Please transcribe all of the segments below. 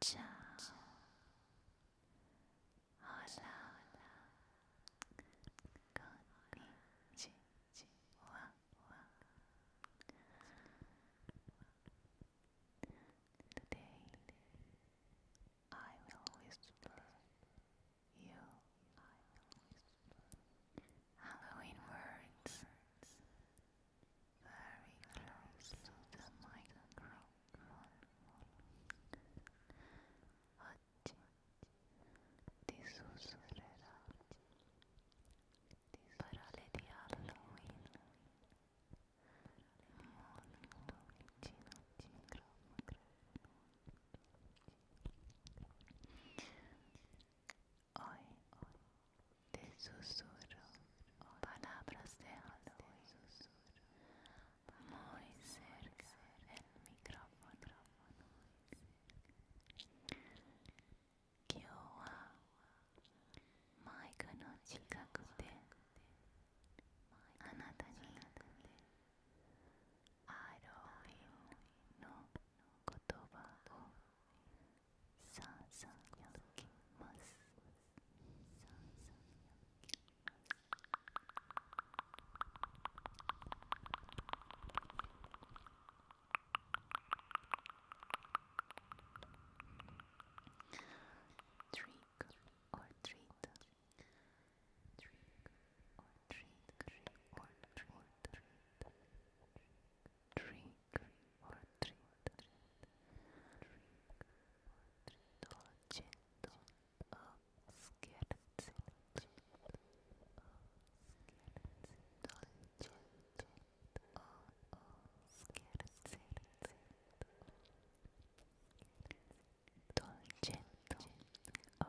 Ciao. Hola, hola. Konnichiwa. Today I will whisper you. Halloween words very close to the microphone. Oggi ti sussurrerò parole di Halloween molto vicino al Hoy te susurro palabras de muy cerca del micrófono. Kyo wa maika no chikaku de アロイの言葉をさんさんやきますさんさんやきます Trick or treat trick or treat, trick or treat, trick or treat, dolce, o scherzo, dolce, o scherzo, dolce, o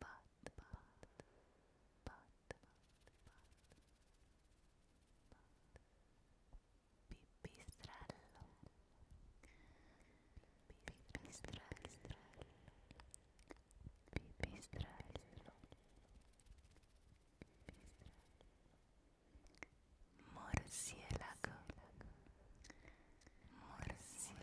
but, but, but, but, pipistrello, pipistrello, pipistrello, morcielago, morcielago.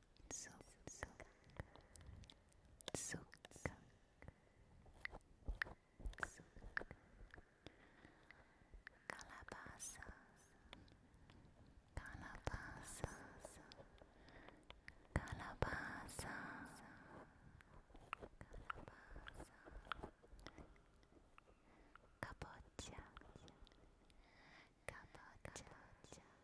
Calabaza, calabaza, calabaza, calabaza, cabocha, cabocha.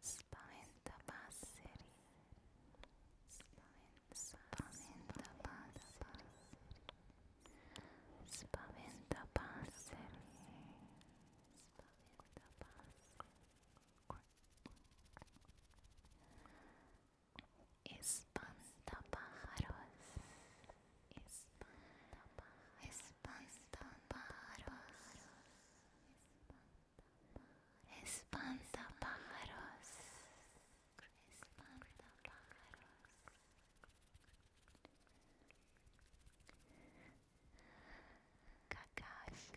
Scarecrow. the Tapasiri. Spine Tapasiri. Spine Tapasiri. Spaventapasseri espanta Espantapájaros. espanta Espantapájaros. pájaros Kakashi.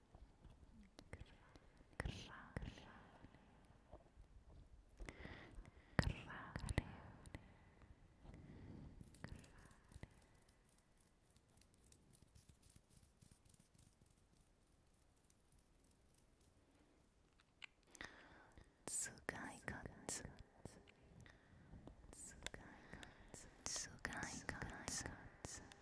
Tsukai katsu. Tsukai katsu. Tsukai katsu.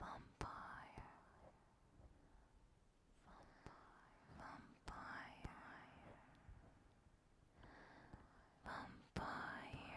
Vampire, vampire, vampire, vampire.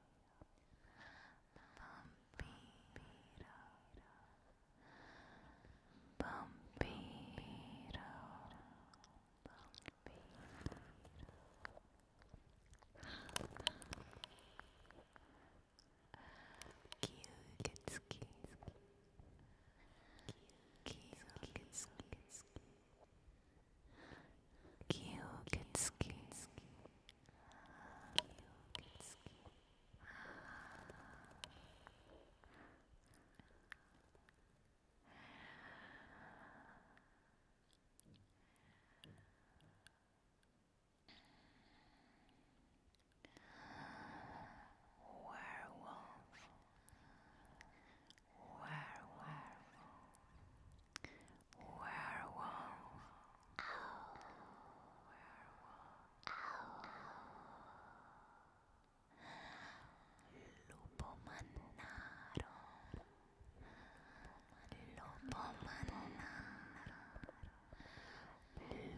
Bombito Bombito Cute, Cute, Kyukitsuki. Werewolf, Werewolf. Werewolf. Owl. Werewolf. Owl. Lupo Mannaro. Lupo Mannaro.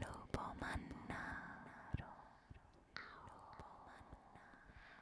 Lupo Mannaro. Lupo Mannaro.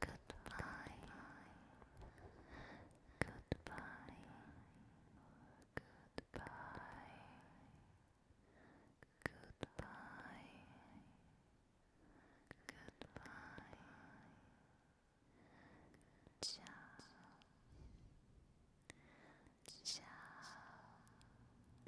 Goodbye. Goodbye. Goodbye. Goodbye. Goodbye. Ciao. Ciao.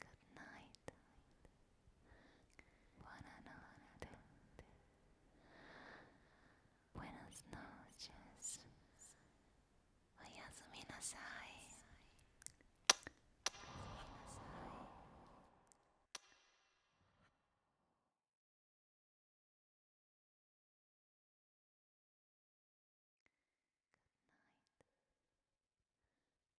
Good night, buonanotte, buenas noches, Good night.